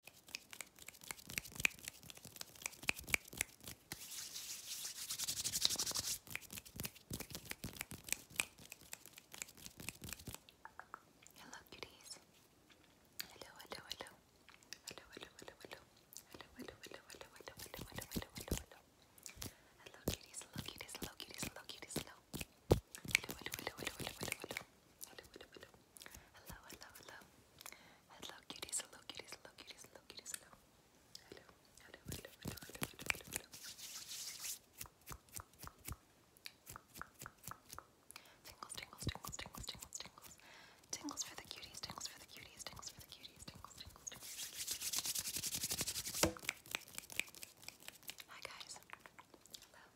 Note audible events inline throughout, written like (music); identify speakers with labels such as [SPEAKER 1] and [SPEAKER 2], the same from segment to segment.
[SPEAKER 1] Hello, cuties. Hello, hello, hello. Hello, hello, hello, hello. Hello, hello, hello, hello, hello, hello, hello, hello, hello, hello. Hello, Hello, cuties. Hello, cuties. hello, hello, hello, hello. Hello, hello, hello. Hello, hello, hello. Hello, cuties. Hello, cuties. Hello, cuties. Hello, cuties. Hello. Hello, hello, hello, hello, hello, hello, Tingles, tingles, tingles, tingles, tingles, tingles. Tingles for the cuties. Tingles for the cuties. Tingles for the cuties. Tingles, tingles, tingles. Hi guys. Hello,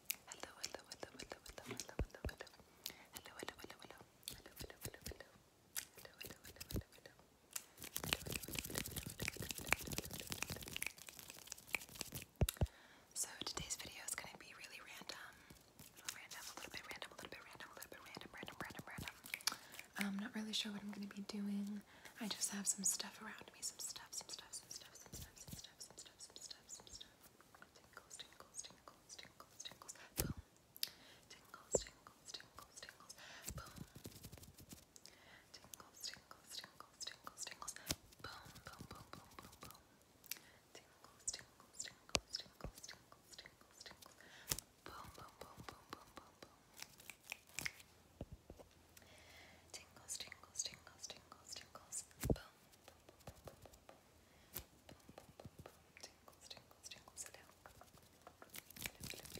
[SPEAKER 1] So today's video is gonna be really random. Random, a little bit random, a little bit random, a little bit random, random, random, random. I'm not really sure what I'm gonna be doing. I just have some stuff around me, some stuff, some stuff stuff, some stuff, some stuff, some stuff, some stuff, some stuff, some stuff. Tingles, tingles, tingles, tingles, tingles. Boom. Tingles, tingles, tingles, tingles. Boom. Tingles, tingles, tingles, tingles, tingles. Boom, boom, boom, boom, boom, boom. Tingles, tingles, tingles, tingles, tingles, tingles, tingles. Boom, boom, boom, boom, boom, boom, boom. Tingles, tingles, tingles, tingles, tingles. Boom, hello, hello, hello, hello,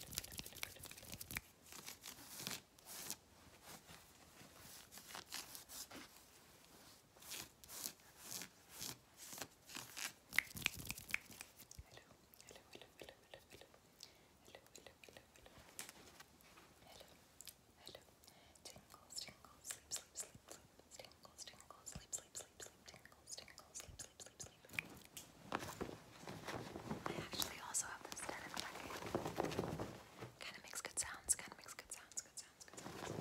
[SPEAKER 1] hello, Hello. Tingles, sleep, sleep, sleep, sleep. Tingles, tingles, sleep, sleep, sleep, sleep. Tingles, tingles, sleep, sleep, sleep, sleep. I actually also have this denim jacket. Kind of makes good sounds. Kind of makes good sounds. Good sounds. Good sounds.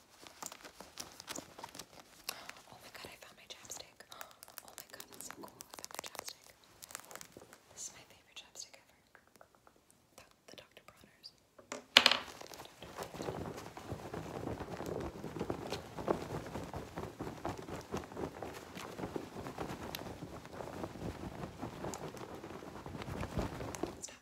[SPEAKER 1] Oh my god, I found my chapstick. (gasps) Oh my god, that's so cool. my chapstick. This is my favorite chapstick ever. The, Dr. Bronner's. Stop.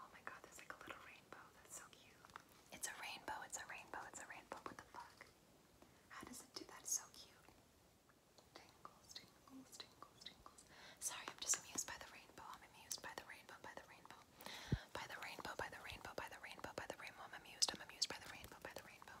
[SPEAKER 1] Oh my god, there's like a little rainbow. That's so cute. It's a rainbow, it's a rainbow, it's a rainbow. What the fuck? How does it do that? It's so cute. Tingles, tingles, tingles, tingles. Sorry, I'm just amused by the rainbow. I'm amused by the rainbow, by the rainbow. By the rainbow, by the rainbow, by the rainbow, by the rainbow. I'm amused, I'm amused by the rainbow, by the rainbow.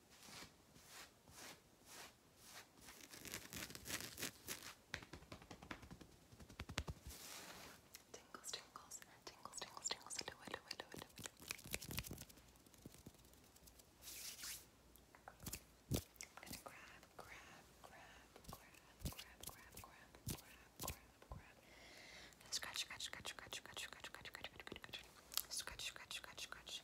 [SPEAKER 1] Tingles, tingles, tingles, tingles, tingles, do it, do it, do it, do it. I'm gonna grab, grab, grab, grab, grab, grab, grab, grab, grab, grab. Scratch, scratch, scratch, scratch, scratch, scratch, scratch, scratch, scratch, scratch, scratch, scratch, scratch,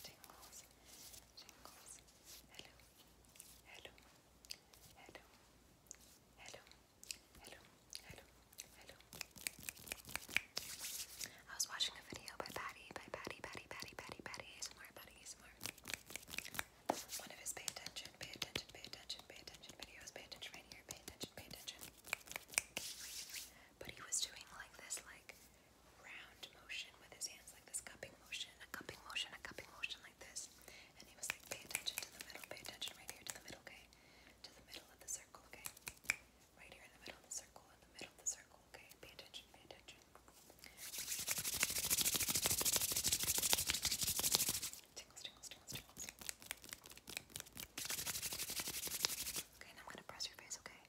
[SPEAKER 1] Jingles, jingles. Hello, hello, hello, hello, hello, hello, hello. I was watching a video by Patty, by Patty, Patty, Patty, Patty, Patty, ASMR, Patty, ASMR. One of his pay attention, pay attention, pay attention, pay attention videos, pay attention right here, pay attention, pay attention. But he was doing like this, like round motion with his hands, like this cupping motion, a cupping motion, a cupping motion, like this. And he was like, pay attention to the middle, pay attention right here to the middle, okay? To the middle of the circle, okay? Right here in the middle of the circle, in the middle of the circle, okay? Pay attention, pay attention. Tingles, tingles, tingles, tingles. Okay, now I'm gonna press your face, okay?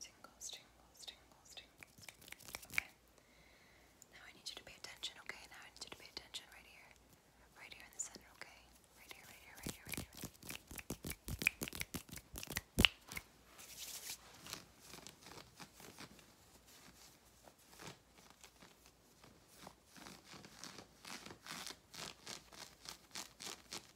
[SPEAKER 1] Tingles, tingles, tingles, tingles, tingles. Okay. Now I need you to pay attention, okay? Now I need you to pay attention right here. Right here in the center, okay? Right here, right here, right here, right here. Okay.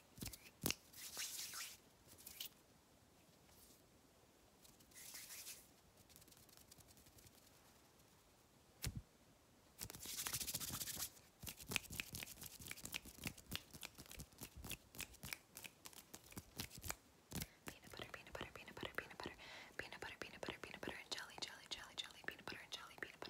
[SPEAKER 1] Peanut butter, peanut butter, peanut butter, peanut butter, peanut butter, peanut butter, peanut butter and jelly, jelly, jelly, jelly, peanut butter and jelly, peanut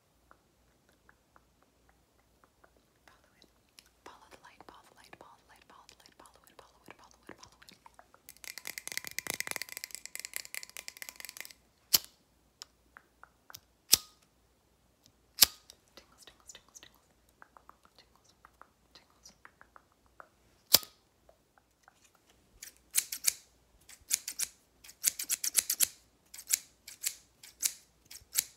[SPEAKER 1] Follow it. Follow the light, follow the light, follow the light, follow the light, follow it, follow it, follow it, follow it. Tingles, tingles, tingles, tingles. Tingles, tingles.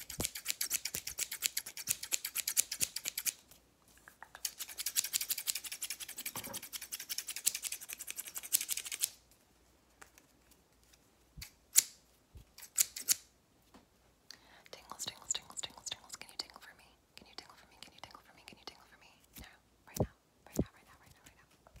[SPEAKER 1] Tingles, tingles, tingles, tingles, tingles. Can you tingle for me? Can you tingle for me? Can you tingle for me? Can you tingle for me? No, right now, right now, right now, right now, right now.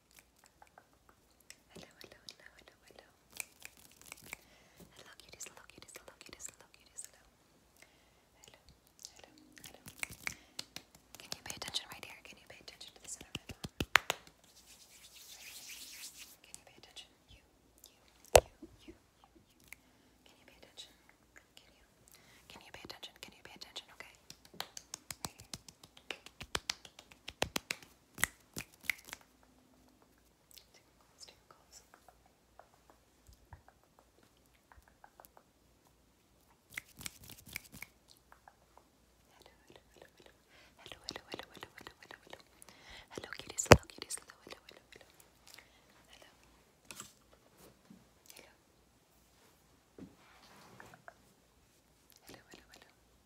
[SPEAKER 1] Hello, hello, hello, hello, hello. Hello, hello, hello, Can you pay attention right here? Can you pay attention to the center Can you pay attention? You, you, you, you, Can you pay attention? Can you? pay attention? Can you pay attention? Okay. Tingles, tingles. Hello, hello, hello, hello. Hello, hello, hello, hello, hello, hello, hello. Hello, kitties, hello, kitties, hello, hello, hello, hello. Hello. Hello. Hello, hello, hello.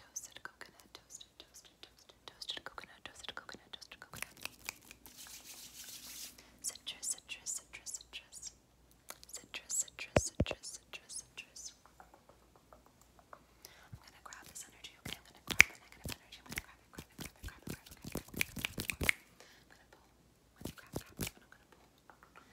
[SPEAKER 1] Toasted coconut, toasted, toasted, toasted, toasted coconut, toasted coconut, toasted coconut. Citrus, citrus, citrus, citrus. Citrus, citrus, citrus, citrus, citrus. I'm gonna grab this energy, okay? I'm gonna grab negative I'm gonna grab it, grab it, grab it, grab it, grab it, grab it, grab I'm going i grab, grab, I'm gonna pull.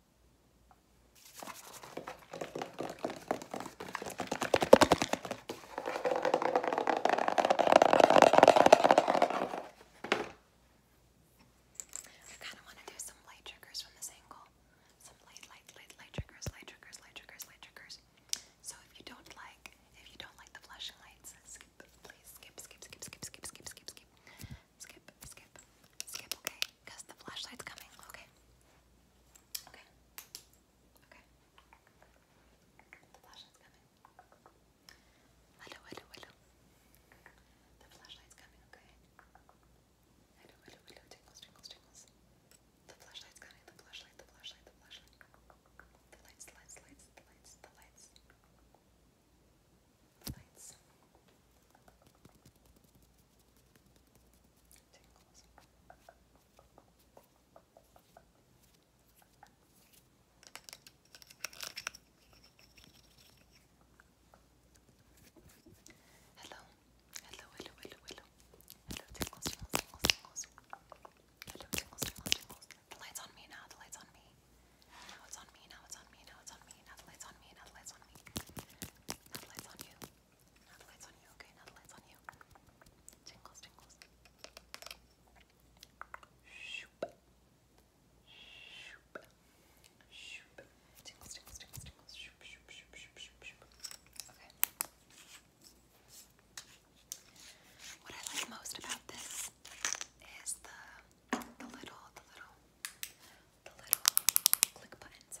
[SPEAKER 1] I kind of want to do some light triggers from this angle. Some light, light, light, light triggers, light triggers, light triggers, light triggers. So if you don't like, if you don't like the flashing lights, skip, please skip, skip, skip, skip, skip, skip, skip, skip skip, skip, skip, okay? Because the flashlight's coming, okay? Okay. Okay. The flashlight's coming. Hello, hello, hello. The flashlight's coming, okay? Hello, hello, hello. Tingles, tingles, tingles. The flashlight's coming, the flashlight, the flashlight, the flashlight. The lights. The lights. The lights. The lights. The lights Tinkles. Hello, hello, hello, hello, hello. light's on me now, the light's on me. Now it's on me, now it's on me, now it's on me, now the light's on me, now the light's on me. Now the What I like most about this is the the little the little the little click buttons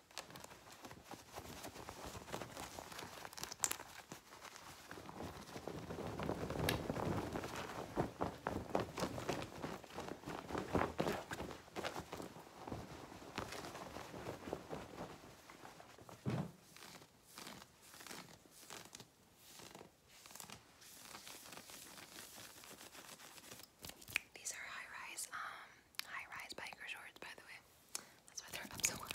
[SPEAKER 1] These are high rise um, high-rise biker shorts, by the way. That's why they're up so high.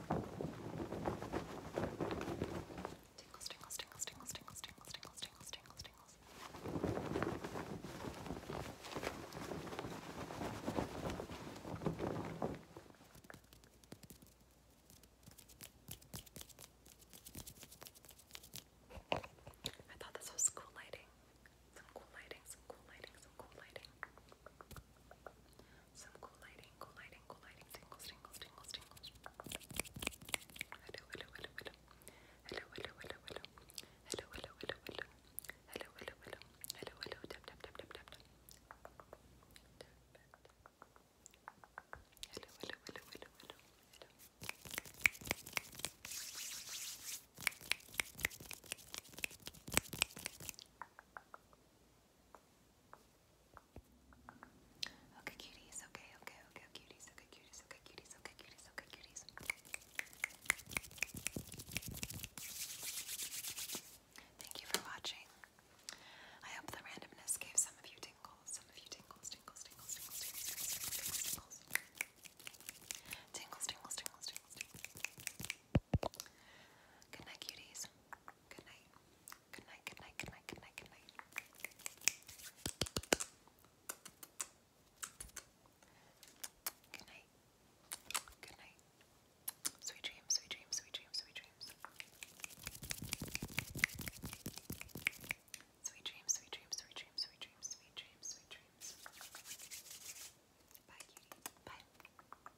[SPEAKER 1] I thought this was cool lighting. Some cool lighting, some cool lighting, some cool lighting. Some cool lighting, cool lighting, cool lighting, tingles, tingles, tingles, tingles. Hello, hello, hello, hello. Hello, hello, hello, hello. Hello, hello, hello, hello. Hello, hello, hello. Hello, hello, hello, hello, hello Okay, cuties. Okay, okay, okay, cuties. Okay, cuties. Okay, cuties. Okay, cuties. Okay, cuties. Thank you for watching. I hope the randomness gave some of you tingles. Some of you tingles, tingles, tingles, tingles, tingles, tingles, tingles, tingles, tingles, tingles, tingles, tingles, cuties. Good night. Good night, good night, good night, good night, good night. Good night. Good night. Sweet dreams, sweet dreams, sweet dreams, sweet dreams. Sweet dreams, sweet dreams, sweet dreams, sweet dreams, Bye, cutie. Bye.